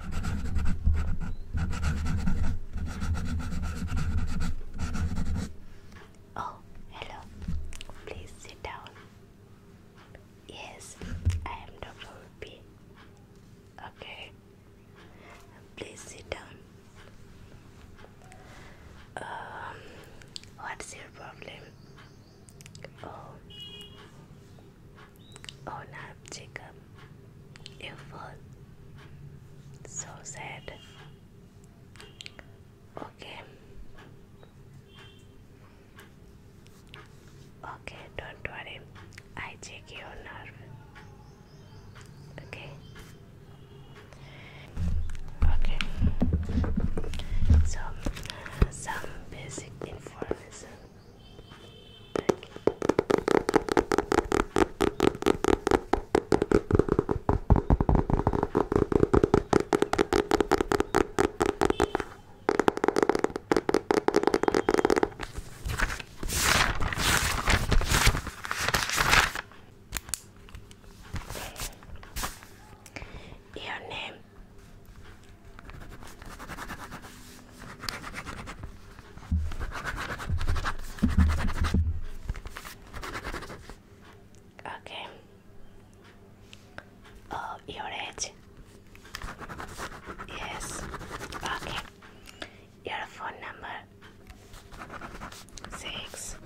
Oh, hello. Please sit down. Yes, I am Dr. Okay. Please sit down. Um, what's your problem? Oh, Oh no, Jacob, you fall. So sad. Okay. Okay, don't worry. I take your nerve. Okay. Okay. So, some basic information your name. Okay. Oh, your age? Yes. Okay. Your phone number? Six.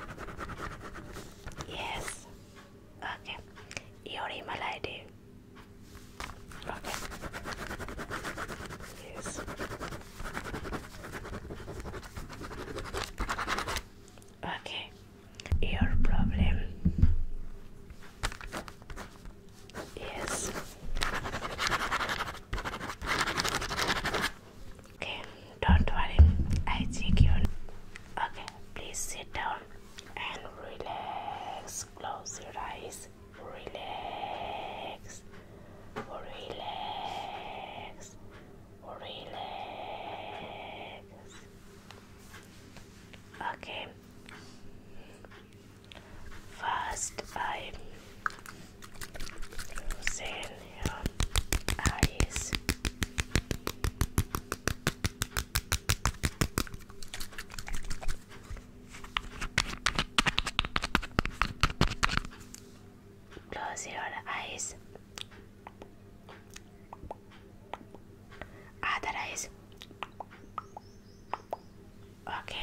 Yes. Okay. Your email ID? Okay. Yes. Okay. Your problem. Yes. Okay, don't worry. I check you. Okay, please sit down and relax. Close your eyes relax, relax, relax. Okay, first I'm using your eyes. Close your eyes. Other ah, eyes. Okay.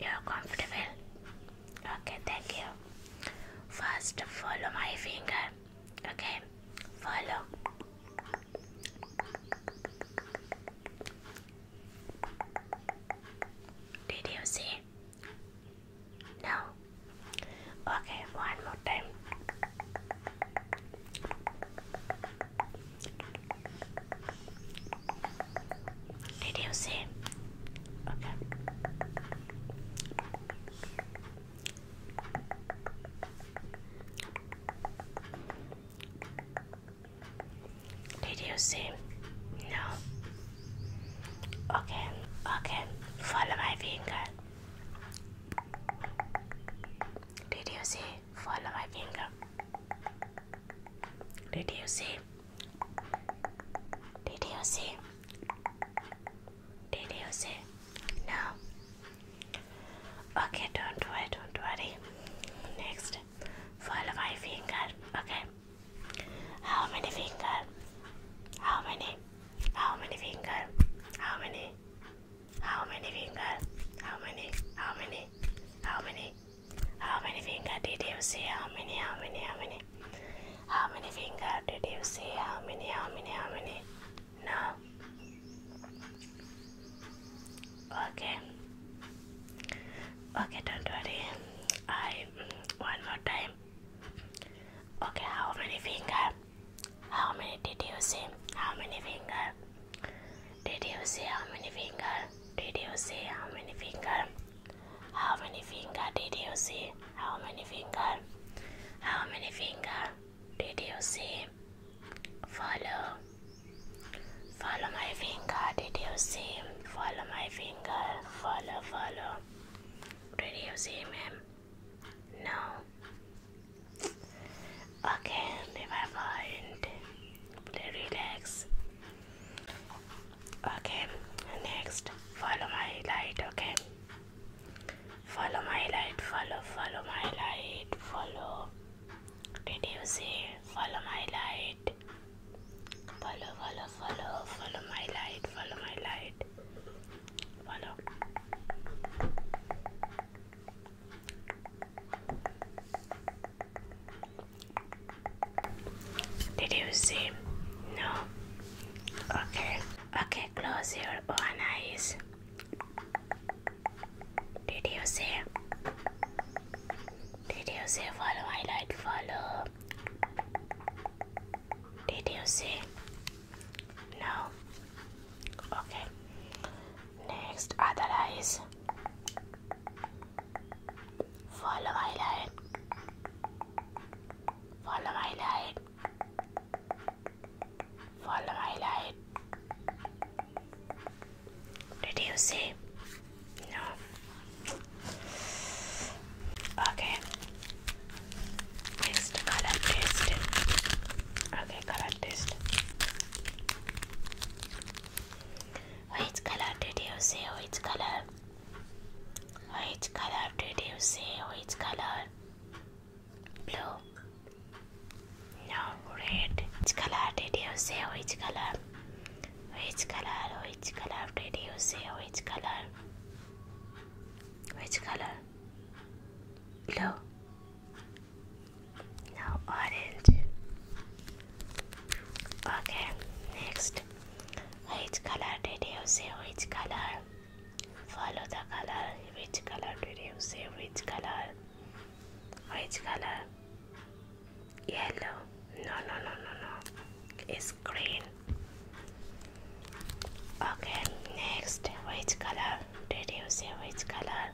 You're comfortable. Okay, thank you. First, follow my finger. Okay, follow. Did you see? No. Okay, one more time. Did you see? Okay. Did you see? No. Okay, okay. Follow my finger. Did you see? Follow my finger. Did you see? Did you see? Did you see? No. Okay, don't worry, don't worry. Next, follow my finger. Okay. How many finger? How many? How many finger? How many? How many finger? How many? How many? How many? How many finger did you see? How many? How many? How many? How many finger did you see? How many, how many, how many? No. Okay. Okay, don't worry. I one more time. Okay, how many finger? How many did you see? How many finger? Did you see how many finger? Did you see how many finger? How many finger did you see? How many finger? How many finger did you see? Follow. Follow my finger. Did you see? Follow my finger. Follow, follow. Did you see him? No. Okay, never mind. Relax. Okay, next follow my light. Okay, Follow my light, follow, follow my light, follow. Did you see? Follow my light. Follow, follow, follow, follow my light, follow my light. Follow. Did you see? No. Okay, Okay, close your one eyes. Did you see? Did you see? Follow my light, follow. Did you see? No. Okay. Next, other eyes. Follow my light. Follow my light. Follow my light. Did you see? No. Okay. Next color test. Okay, color test. Which color did you see? Which color? Which color did you see? Which color? blue no red which color did you say which color which color which color did you say which color which color blue now orange okay next which color did you say which color follow the color which color did you see? which color which color yellow no no no no no it's green okay next which color did you see? which color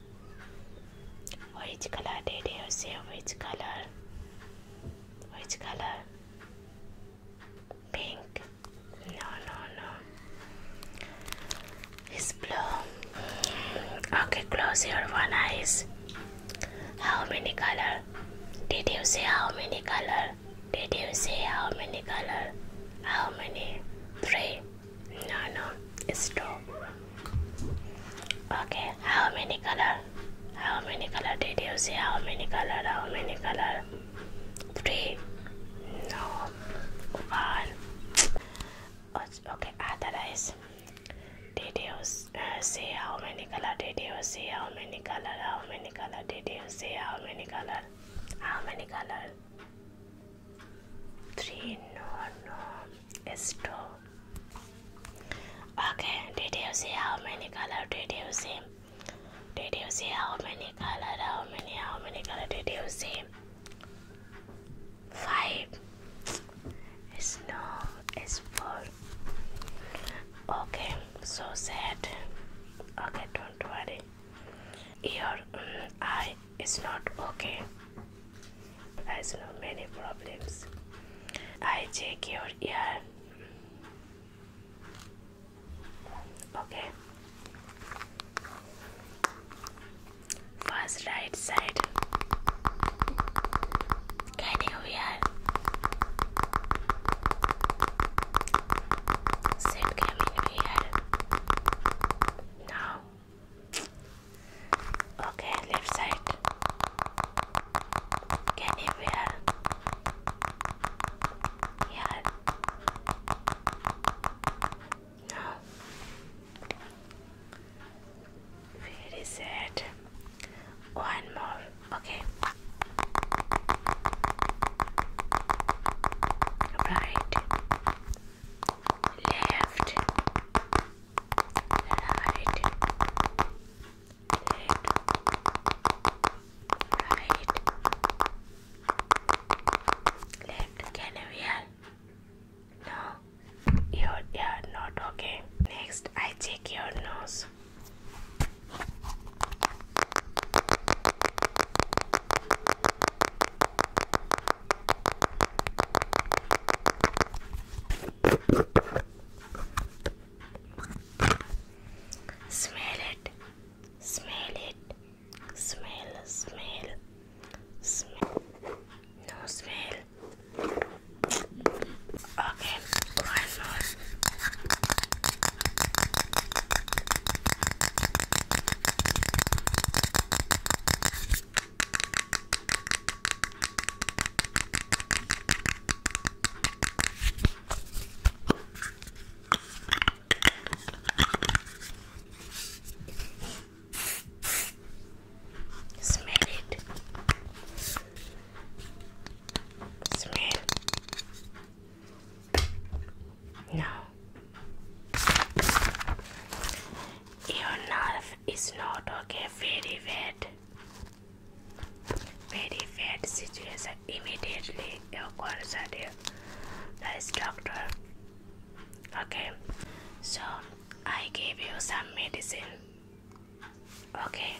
which color did you say which color which color pink. No, no, no. It's blue. Okay, close your one eyes. How many color? Did you see how many color? Did you see how many color? How many? Three. No, no, it's two. Okay, how many color? How many color did you see? How many color? How many color? three, no, one. Okay, otherwise, did you uh, see how many color? Did you how many color? How many color? Did you how many color? How many color? Three, no, no, it's Okay, did you how many color? Did you see? Did you see how many colors? How many? How many color did you see? Five. It's no. It's four. Okay. So sad. Okay. Don't worry. Your mm, eye is not okay. Has no many problems. I check your ear. Okay. First right side. Can you hear? Sit coming here. Now. Okay, left side. Can you hear? Yeah. No. Where is it? One more. Okay. Right. Left. Right. Left. Right can you hear? No, your ear not okay. Next, I check your nose. Smell it, smell it smell smell smell no smell okay Smell it. Smell. No. Your nerve is not okay. Very bad. Very bad situation. Immediately your concert you doctor okay so i gave you some medicine okay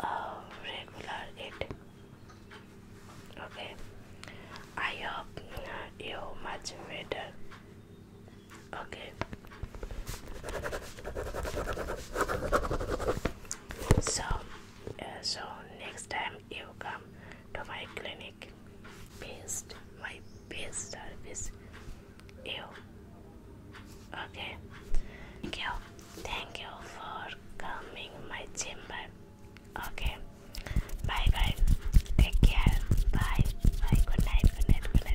oh, regular it okay i hope you much better Okay. So, uh, so next time you come to my clinic, best my best service. You. Okay. Thank you. Thank you for coming my chamber. Okay. Bye bye. Take care. Bye. Good night. Good night. Good night.